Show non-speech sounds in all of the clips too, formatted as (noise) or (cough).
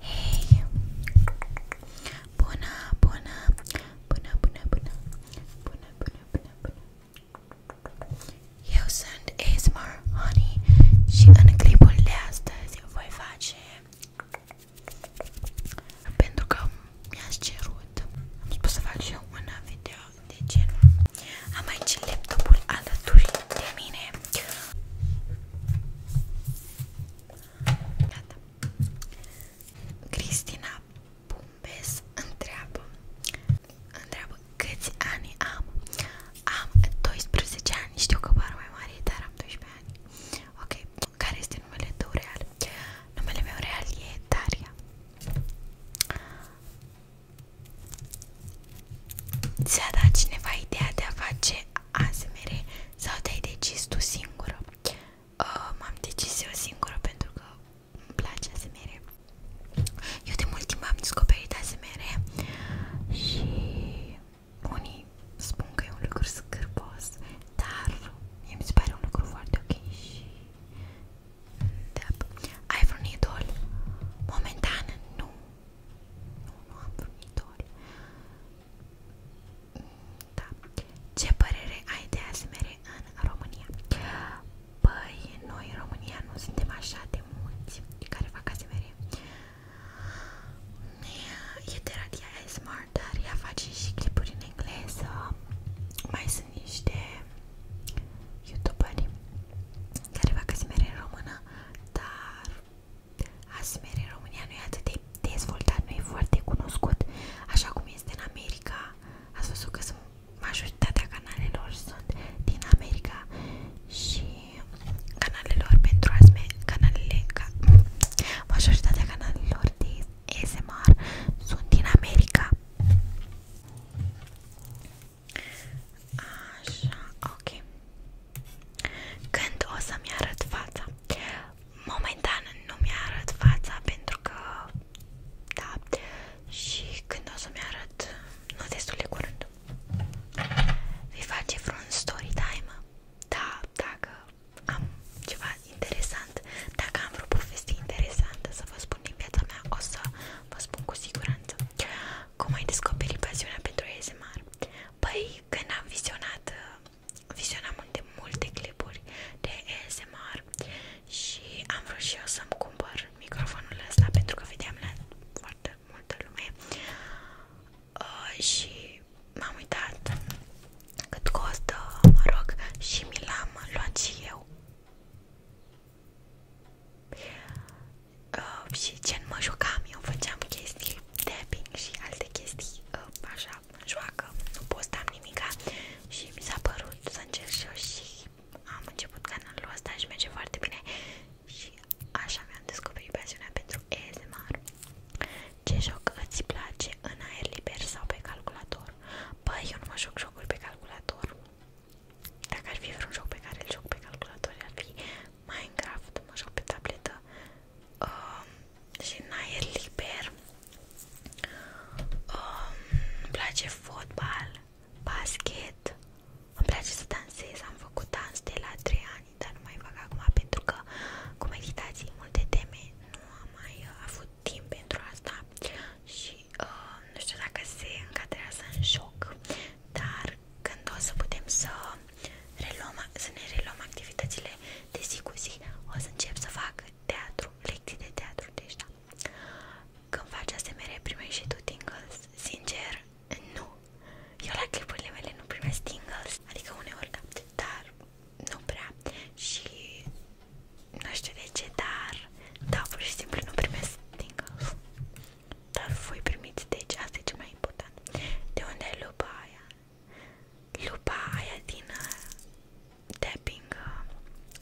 Hei! Bună, bună, bună, bună, bună, bună, bună, bună, bună. Eu sunt ASMR Honey și în clipul de astăzi voi face pentru că mi-ați cerut. Am spus să fac și eu un video de genul. Am aici laptopul alături de mine. Gata. Cristina Pumbes întreabă, întreabă câți ani am? Am 12 ani, știu că par mai mare, dar am 12 ani. Ok, care este numele tău real? Numele meu real e Daria Ți-a dat cineva ideea de a face ASMR sau te-ai decis tu singură? Uh, M-am decis eu singură pentru că îmi place ASMR. Eu de mult timp am descoperit ASMR și unii spun că e un lucru scârbos, dar mie mi se pare un lucru foarte ok și da. Ai vreun idol? Momentan nu. Nu, nu am vreun idol. Da. Ce părere ai de ASMR în România? Păi, noi în România nu suntem așa de mulți care fac ASMR. E de radia ASMR, dar ea face și clipuri în engleză. Mai sunt niște youtuberi care fac ASMR în română, dar ASMR în România nu e atât de dezvoltat, nu e foarte cunoscut, așa cum este în America. Ați văzut că sunt, majoritatea canalelor sunt din America și canalelor pentru ASMR, canalele, ca, majoritatea canalelor de ASMR Sunt din America Așa, ok Când o să-mi arăt fața? Momentan nu mi-arăt fața pentru că da, și când o să-mi arăt nu destul de curând Vei face vreun story time? Da, dacă am ceva interesant, dacă am vreo poveste interesantă să vă spun din viața mea, o să vă spun cu siguranță. Cum ai descoperit pasiunea pentru ASMR? Păi, când am vizionat, vizionam multe, multe clipuri de ASMR și am vrut și eu să-mi cumpăr microfonul ăsta pentru că vedeam la foarte multă lume uh, și m-am uitat cât costă, mă rog, și mi l-am luat și eu. Uh, și ce mă jucam, eu făceam chestii tapping și alte chestii uh, așa, joacă, nu postam nimica și mi s-a părut să încerc și eu și am început canalul ăsta și merge foarte bine și așa mi-am descoperit pasiunea pentru ASMR ce joc îți place în aer liber sau pe calculator? Băi, eu nu mă joc jocuri pe calculator. Dacă ar fi vreun joc pe care îl joc pe calculator, ar fi Minecraft, mă joc pe tabletă. Uh, și în aer liber uh, îmi place fotbal, basket, îmi place să dansez, am făcut dans de la 3 ani, dar nu mai fac acum pentru că cu meditații multe teme nu am mai uh, avut timp pentru asta și uh, nu știu dacă se încadrează în joc, dar când o să putem să, reluăm, să ne reluăm activitățile de zi cu zi, o să încep să fac teatru, lecții de teatru, deci da. Când faci asemenea, primești și tu tingles? Sincer, nu. Eu la clipurile mele nu primesc tingles, adică uneori da, dar nu prea și nu știu de ce, dar da, pur și simplu nu primesc din golf. Dar voi primiți, deci asta e ce mai important. De unde e lupa aia? Lupa aia din uh, tapping, uh,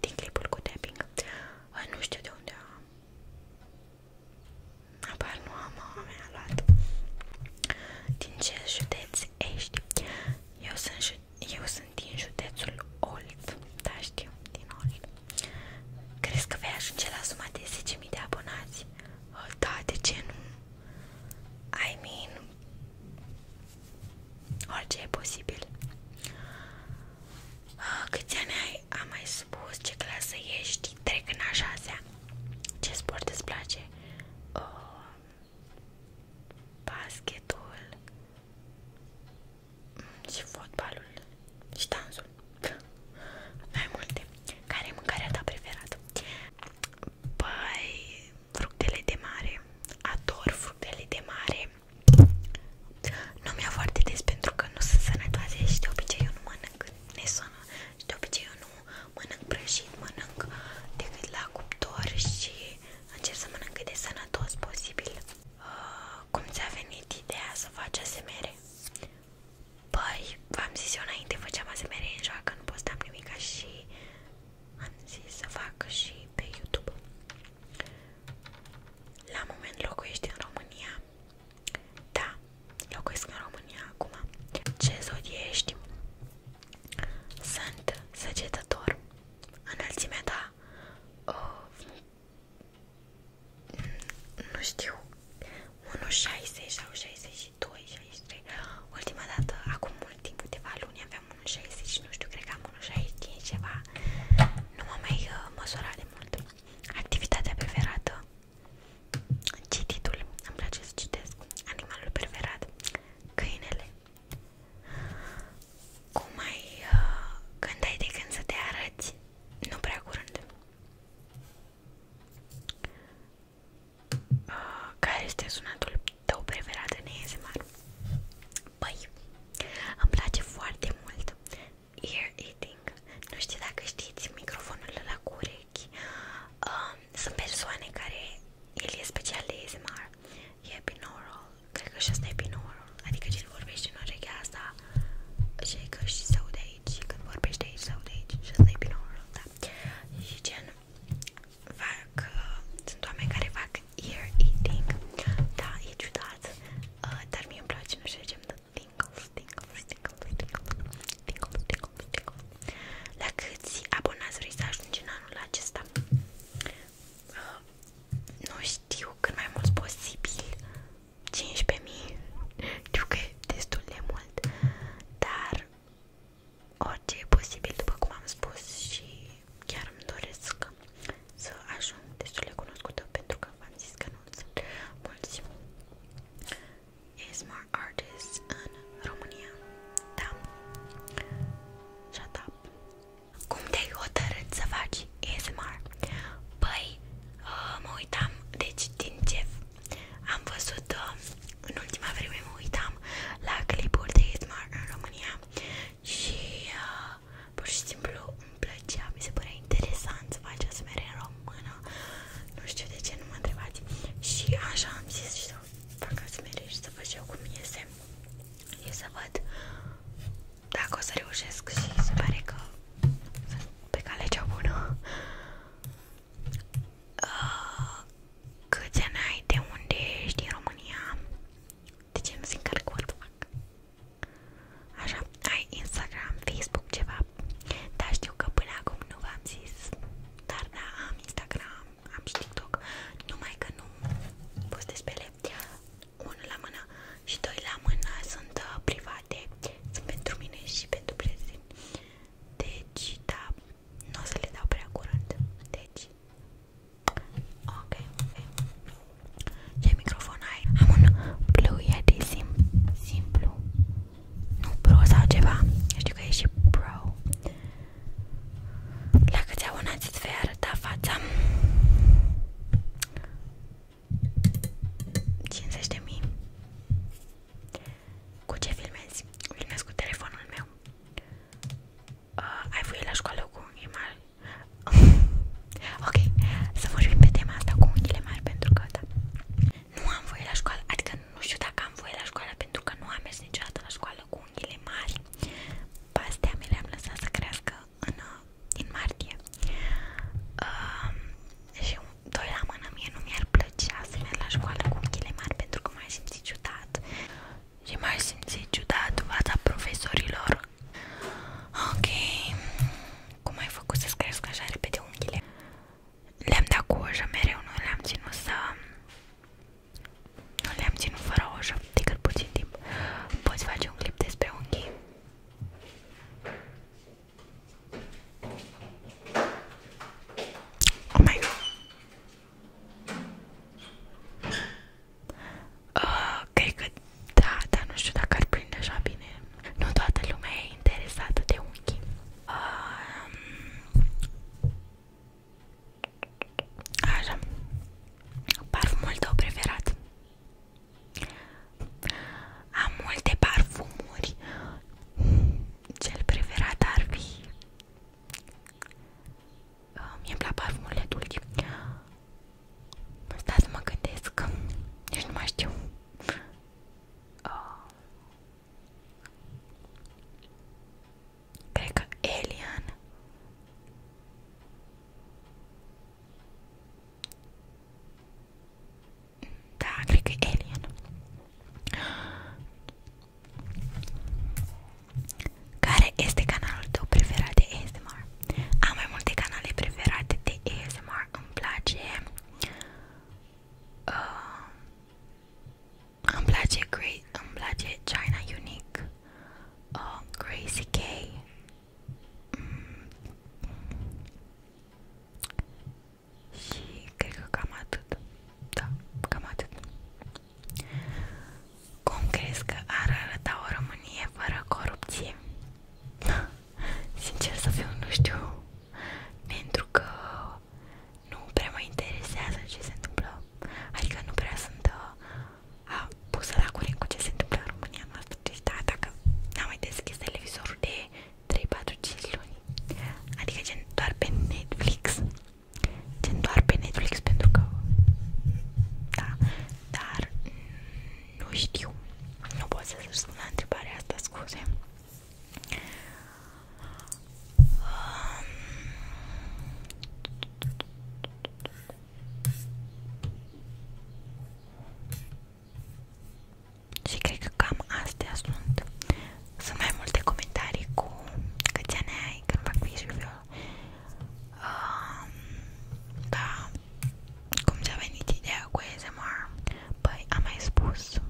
din clipul cu tapping. Uh, nu știu de unde am. Apar nu am, mea luat. Din ce județ ești? Eu sunt, eu sunt din județul Olt, da știu, din Olt. Crezi că vei ajunge la suma de 10.000 de abonați? Ă, da, de ce nu? I mean, orice e posibil. Ă, câți ani ai? Am mai spus ce clasă ești? Trec în a șasea. Ce sport îți place? Uh, basketul și fotbalul și dansul. Mai multe. Care e mâncarea ta preferată? Păi, fructele de mare. Ador fructele de mare. Nu mi-a foarte des pentru că nu sunt sănătoase și de obicei eu nu mănânc nesonă și de obicei eu nu mănânc prăjit, mănânc decât la cuptor și încerc să mănânc cât de sănătos posibil. Uh, cum ți-a venit ideea să faci asemere? Păi, v-am zis eu înainte, făceam asemere în joacă, nu postam nimica și am zis să fac și pe YouTube. La moment locuiești în România? Da, locuiesc în România acum. Ce zodie ești? Sunt săgetător. Înălțimea ta... Uh, nu știu... 1,60 sau 62, 63... Ultima dată, acum mult timp, câteva luni, aveam 1,60 nu știu, cred că am 1,65 ceva. Nu m-am mai uh, măsurat de mult. Activitatea preferată? Cititul, îmi place să citesc Animalul preferat Câinele Cum ai uh, Când ai de când să te arăți Nu prea curând uh, Care este sunatul tău preferat în ASMR? Băi, îmi place foarte mult Ear eating Nu știu dacă știți microfonul la cu urechi uh, sunt persoane care el e special de ASMR, e binaural, cred că și asta e binaural, adică cine vorbește în urechea asta și că și se aude aici, și când vorbește aici se aude aici și asta e binaural, da. Și gen, fac, uh, sunt oameni care fac ear eating, da, e ciudat, uh, dar mie îmi place, nu știu ce, tingles, tingles, tingles, tingles, tingles, tingles, tingles. La câți abonați vrei să ajungi în anul acesta? Uh, nu știu, cât mai mult posibil 15.000 Știu că e destul de mult Dar orice e posibil, după cum am spus Și chiar îmi doresc să ajung destul de cunoscută Pentru că v-am zis că nu sunt mulți ASMR artist în România. Da. Shut up. Cum te-ai hotărât să faci ASMR? Păi, uh, mă uitam, deci din ce am văzut uh, în ultima vreme mă uitam la clipuri de ASMR în România și uh, pur și simplu îmi plăcea, mi se părea interesant să faci ASMR în română nu știu de ce nu mă întrebați și așa am zis și să fac asmere și să văd și eu cum iese și să văd dacă o să reușesc și se pare că sunt pe calea cea bună uh, câți ani ai, de unde ești, din România de ce nu se încarcă Așa, ai Instagram, Facebook, ceva cap Dar știu că până acum nu v-am zis Dar da, am Instagram, am și TikTok Numai că nu postez pe ele Unul la mână și doi la mână sunt uh, private Sunt pentru mine și pentru prezent Deci, da, nu o să le dau prea curând Deci Ok, okay. Ce microfon ai? Am un Blue Yeti simplu nu pro sau ceva, știu că e și pro La câți abonați îți vei arăta fața? 50.000 Cu ce filmezi? Filmez cu telefonul meu uh, Ai voie la școală cu unghii mari? (laughs) ok, să vorbim pe tema asta cu unghiile mari pentru că da nu am voie la școală, adică nu știu dacă am voie la școală pentru că nu am mers niciodată la școală cu unghiile mari pe astea mi le-am lăsat să crească în, în uh, martie uh, și doi la mână mie nu mi-ar plăcea să merg la școală cu unghiile mari pentru că m-aș simți ciudat și m-aș simți ciudat fața profesorilor ok cum ai făcut să-ți crească așa repede unghiile? le-am dat cu ojă mereu, nu le-am ținut să... Nu le-am ținut fără ojă, decât puțin timp. Poți face un clip despre unghii? Oh my god! Uh, cred că da, dar nu știu dacă ar prinde așa bine nu toată lumea e interesată de unchi. Um, așa. Parfumul tău preferat. Am multe parfumuri. Cel preferat ar fi... Uh, ah, Mie-mi plac parfumurile dulci. Stai să mă gândesc. Nici nu mai știu uh, Alien da, cred Alien care este canalul tău preferat de ASMR? Am mai multe canale preferate de ASMR, îmi place Uh, îmi place Grey, îmi China Unique, uh, K. Mm. Și cred cam atât. Da, cam atât. Cum crezi că o Românie fără corupție? (laughs) Sincer să fiu, nu știu, pentru că nu prea mă interesează ce se întâmplă, adică nu prea sunt uh, pusă la curent cu ce se întâmplă în România noastră, deci da, dacă n-am mai deschis televizorul de 3, 4, 5 luni, adică gen doar pe Netflix, gen doar pe Netflix pentru că, da, dar mm, nu știu. Nu pot să răspund la întrebarea asta, scuze. Um. Și cred că cam astea sunt. Sunt mai multe comentarii cu câți ani ai când fac vis-review. Um, da, cum ți-a venit ideea cu ASMR? Păi, am mai spus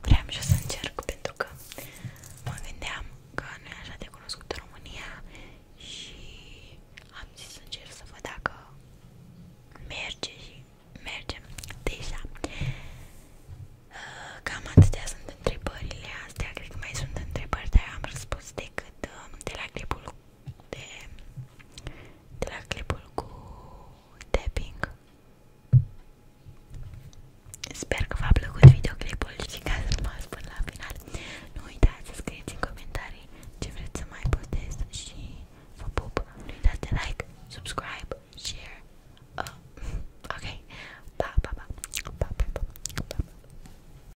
Vreau și să încerc pentru că mă gândeam că nu e așa de cunoscut în România și am zis să încerc să văd dacă merge și mergem deja uh, Cam atâtea sunt întrebările astea, cred că mai sunt întrebări, dar am răspuns decât uh, de la clipul de, de la clipul cu tapping. Sper că v-a plăcut videoclipul și că ați rămas până la final. Nu uitați să scrieți în comentarii ce vreți să mai postez și vă pup. Nu uitați de like, subscribe, share. Uh, (laughs) ok, pa, pa, pa, pa, pa, pa. pa, pa.